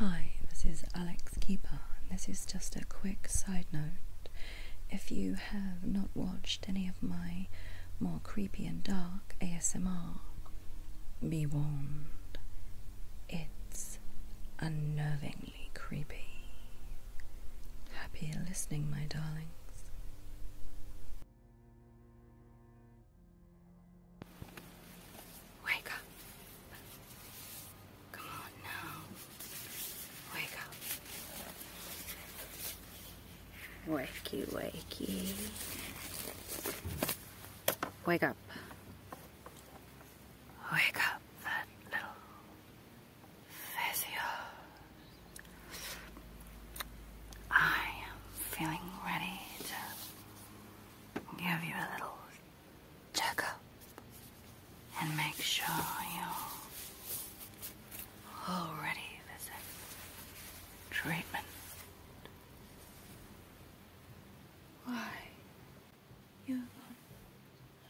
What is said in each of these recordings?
Hi, this is Alex Keeper, and this is just a quick side note. If you have not watched any of my more creepy and dark ASMR, be warned, it's unnervingly creepy. Happy listening, my darlings. Wake up. Come on now. Wake up. Wakey, wakey. Wake up. Wake up, that little fizzy I am feeling ready to give you a little check up and make sure you're all ready for some treatment. Why? You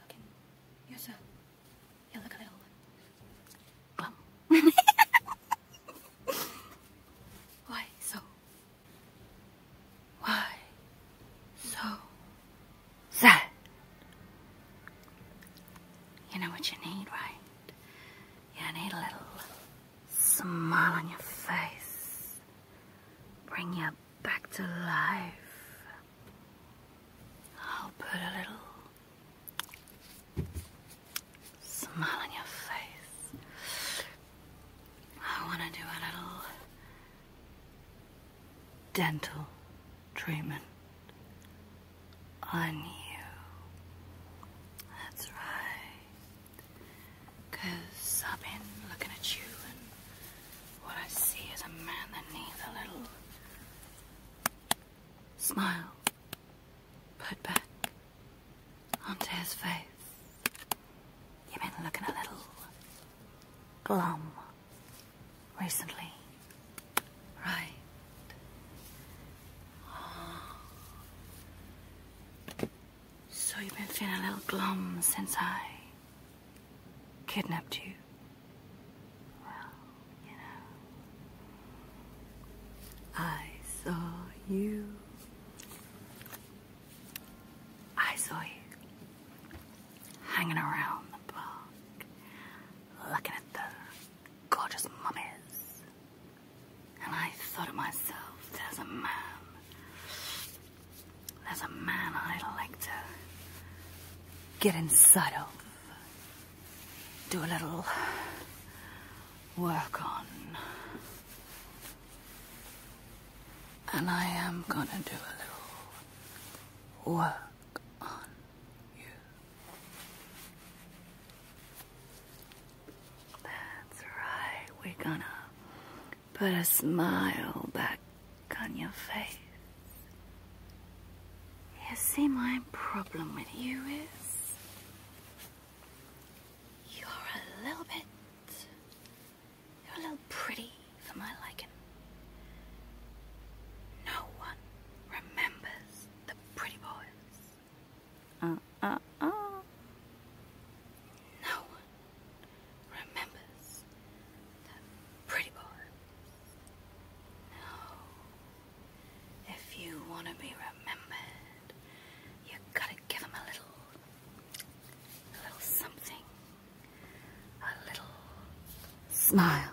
looking yourself. You look a little Why so why so sad? You know what you need, right? You need a little smile on your face. Bring you back to life. I'll put a little smile on your face. I want to do a little dental treatment on you. That's right. Because I've been looking at you, and what I see is a man that needs a little smile put back onto his face. You've been looking a little glum recently, right? So you've been feeling a little glum since I kidnapped you. Well, you know, I saw you I saw you hanging around the park, looking at the gorgeous mummies, and I thought of myself, as a man, there's a man i like to get inside of, do a little work on. And I am gonna do a little work on you. That's right, we're gonna put a smile back on your face. You see, my problem with you is you're a little bit you're a little pretty for my liking. No one remembers the pretty boys. Uh, uh, uh. No one remembers the pretty boys. No. If you want to be remembered, you gotta give a little a little something, a little smile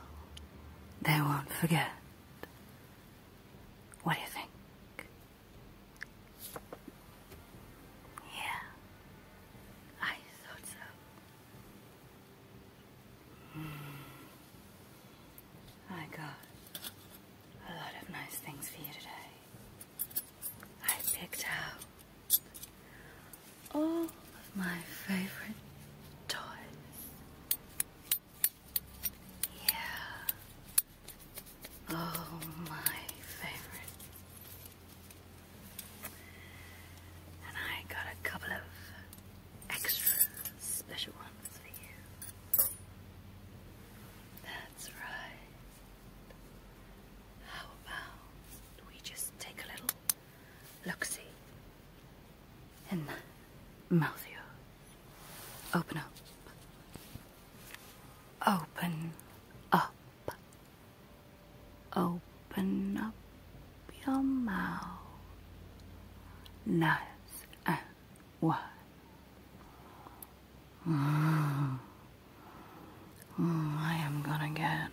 they won't forget. What do you think? Yeah, I thought so. Hmm. I got a lot of nice things for you today. I picked out all of my favorite toys. Yeah, oh my favorite. And I got a couple of extra special ones for you. That's right. How oh, about we just take a little look and mouth Open up. Open up. Open up your mouth. Nice and wide. Mm. I am gonna get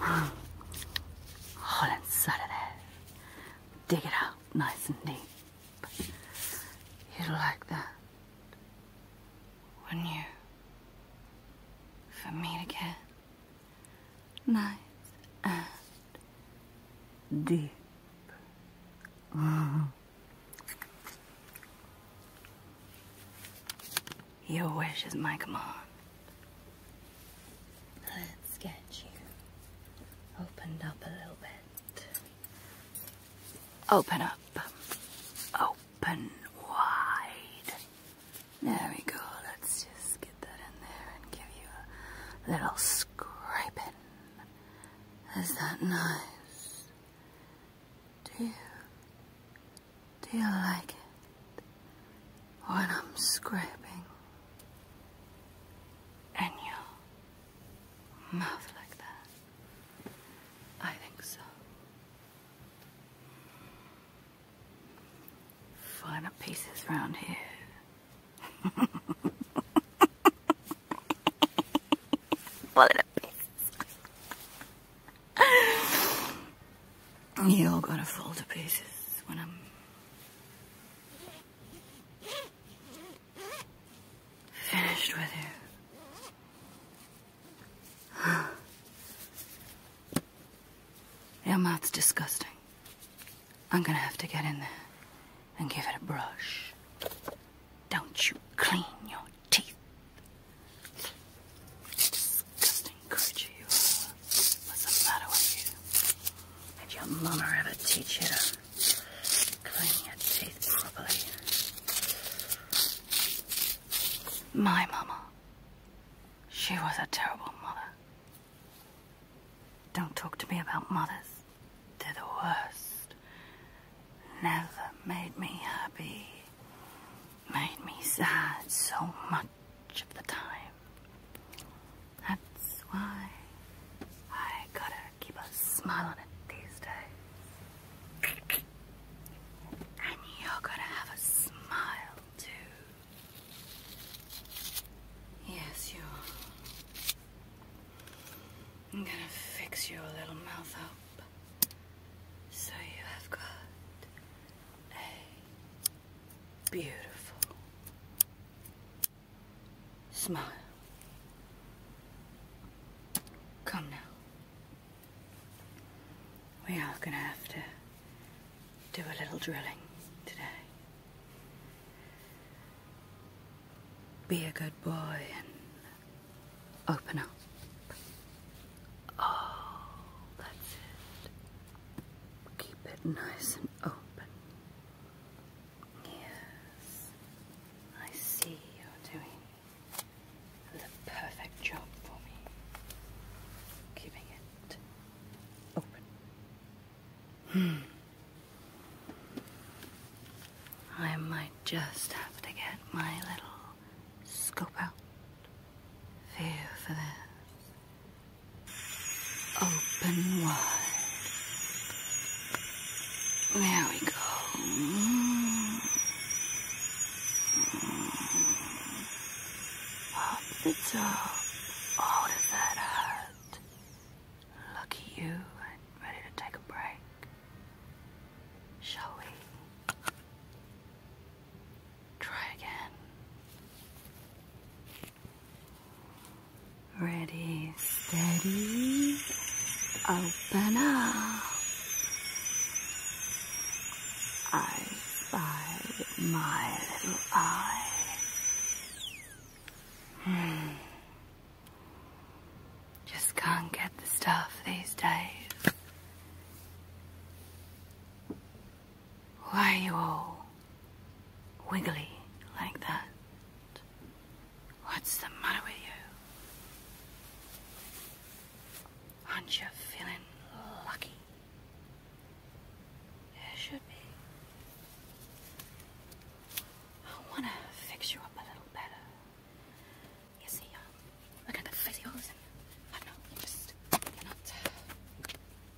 all inside of that. Dig it out nice and deep. You'd like that, wouldn't you? For me to get nice and deep. Oh. Your wish is my command. Let's get you opened up a little bit. Open up. Open wide. There we go. Let's just get that in there and give you a little scraping. Is that nice? Do you, do you like it when I'm scraping and your mouth like that? I think so. Finer pieces round here. What a pieces. you all going to fall to pieces when I'm finished with you. Your mouth's disgusting. I'm gonna have to get in there and give it a brush. Don't you clean your teeth. Uh, what's the matter with you? Did your mama ever teach you to clean your teeth properly? My mama. She was a terrible mother. Don't talk to me about mothers. They're the worst. Never made me happy. Made me sad so much of the time. That's why I gotta keep a smile on it these days. And you're gonna have a smile too. Yes, you are. I'm gonna fix your little mouth up so you have got a beautiful smile. Come now. We are gonna have to do a little drilling today. Be a good boy and open up. Oh, that's it. Keep it nice and open. Yes, I see you're doing the perfect job for me. Keeping it open. Hmm. I might just have to get my little scope out. Fear for this. Open wide. There we go. Pop the top. Oh, does that hurt? Lucky you ready to take a break. Shall we? Try again. Ready, steady, open up. I spy my little eye. Hmm. Just can't get the stuff these days. Why are you all wiggly like that? What's the matter with you? Aren't you feeling lucky? There should be. I want to fix you up a little better. You see, uh, look at the physios I know, you are not,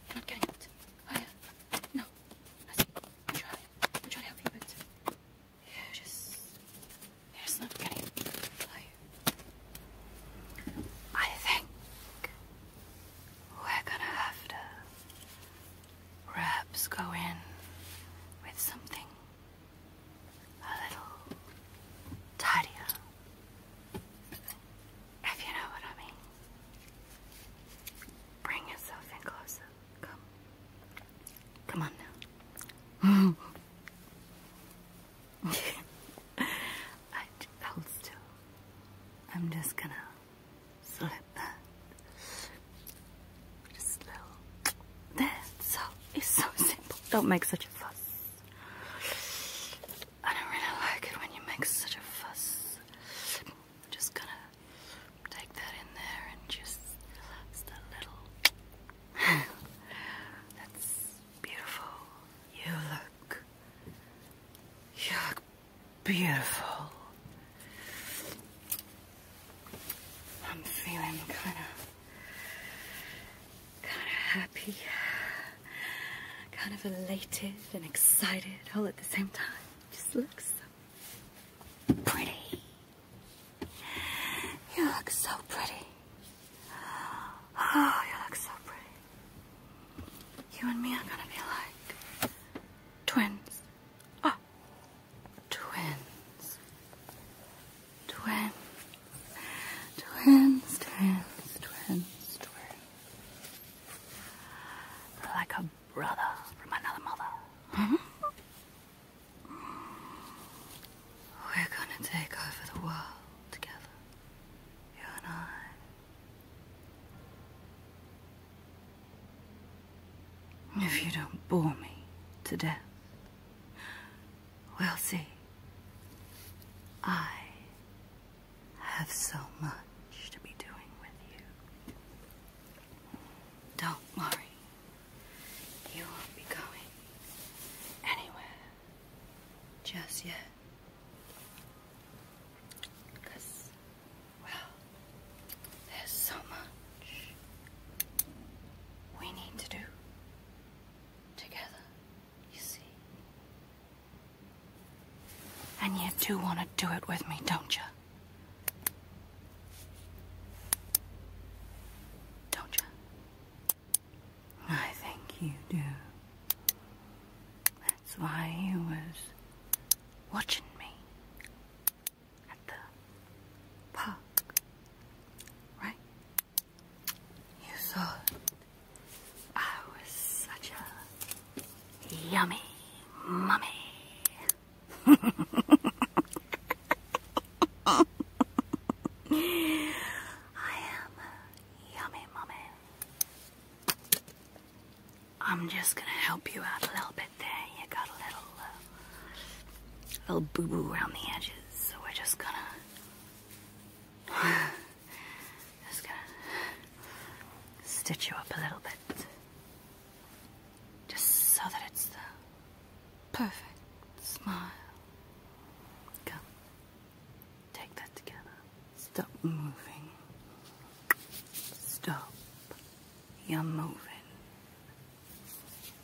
you're not getting it. Oh, no, I am trying, I'm trying to help you, but you just, you're just not getting it. I think we're gonna have to Rubs go in with something a little tidier, if you know what I mean. Bring yourself in closer. Come. Come on now. I hold still. I'm just gonna Slip, that. Just a little. There. So it's so simple. Don't make such a fuss. I don't really like it when you make such a fuss. I'm just gonna take that in there and just a little. That's beautiful. You look. You look beautiful. I'm feeling kind of, kind of happy, kind of elated and excited all at the same time. Just looks so pretty. You look so pretty. Oh, you look so pretty. You and me are gonna be like twins. Oh, twins, twins, twins, twins, twins, twins, like a brother from another mother. Mm -hmm. We're gonna take over the world together, you and I. If you don't bore me to death, we'll see. I have so much to be doing with you. Don't worry. You won't be going anywhere just yet. Well, there's so much we need to do together, you see. And you do want to do it with me, don't you? Don't you? I think you do. That's why you was watching me at the park, right? You thought I was such a yummy mummy. I am a yummy mummy. I'm just gonna help you out a little bit there. You got a little, uh, little boo-boo around the edges, so we're just gonna, just gonna stitch you up a little bit, just so that it's the perfect smile. Come, take that together. Stop moving. Stop. You're moving.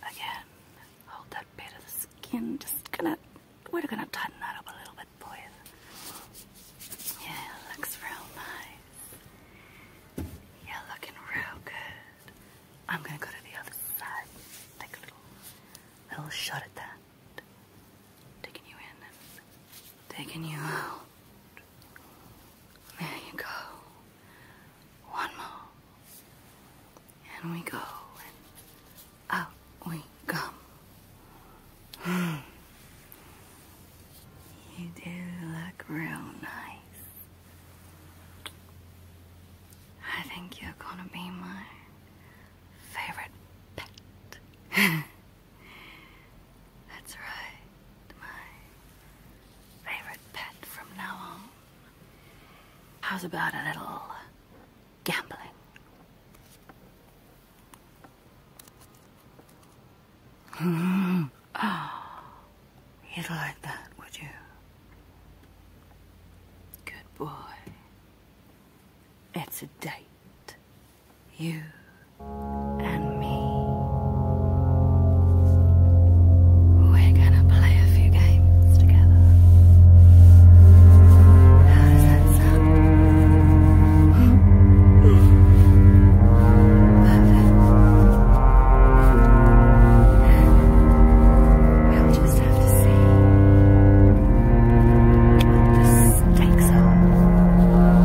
Again, hold that bit of the skin. Just gonna, we're gonna tighten that up a little bit for you. Yeah, looks real nice. Yeah, looking real good. I'm gonna go to the other side. Take a little, little shot at that. Taking you in and taking you out. There you go. One more. And we go, and we come. You do look real nice. I think you're gonna be my favorite pet. That's right, my favorite pet from now on. How's about a little gambling? Mm. you'd like that, would you? Good boy. It's a date. You and me. We're gonna play a few games together. does that sound? Perfect. Now we just have to see what the stakes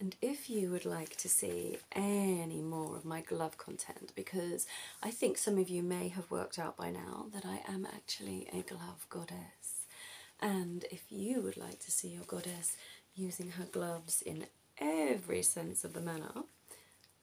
And if you would like to see any more of my glove content, because I think some of you may have worked out by now that I am actually a glove goddess. And if you would like to see your goddess using her gloves in every sense of the manner,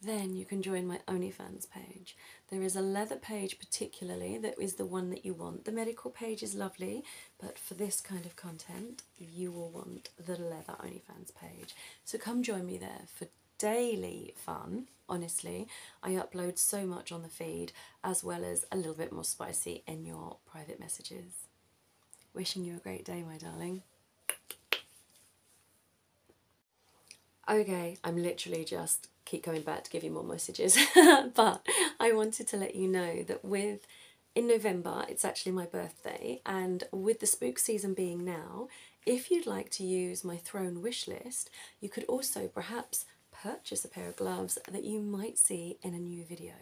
then you can join my OnlyFans page. There is a leather page particularly that is the one that you want. The medical page is lovely, but for this kind of content, you will want the leather OnlyFans page. So come join me there for daily fun. Honestly, I upload so much on the feed as well as a little bit more spicy in your private messages. Wishing you a great day, my darling. Okay, I'm literally just keep going back to give you more messages, but I wanted to let you know that with in November, it's actually my birthday, and with the spook season being now, if you'd like to use my throne wish list, you could also perhaps purchase a pair of gloves that you might see in a new video.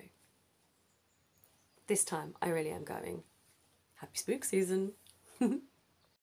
This time, I really am going. Happy spook season!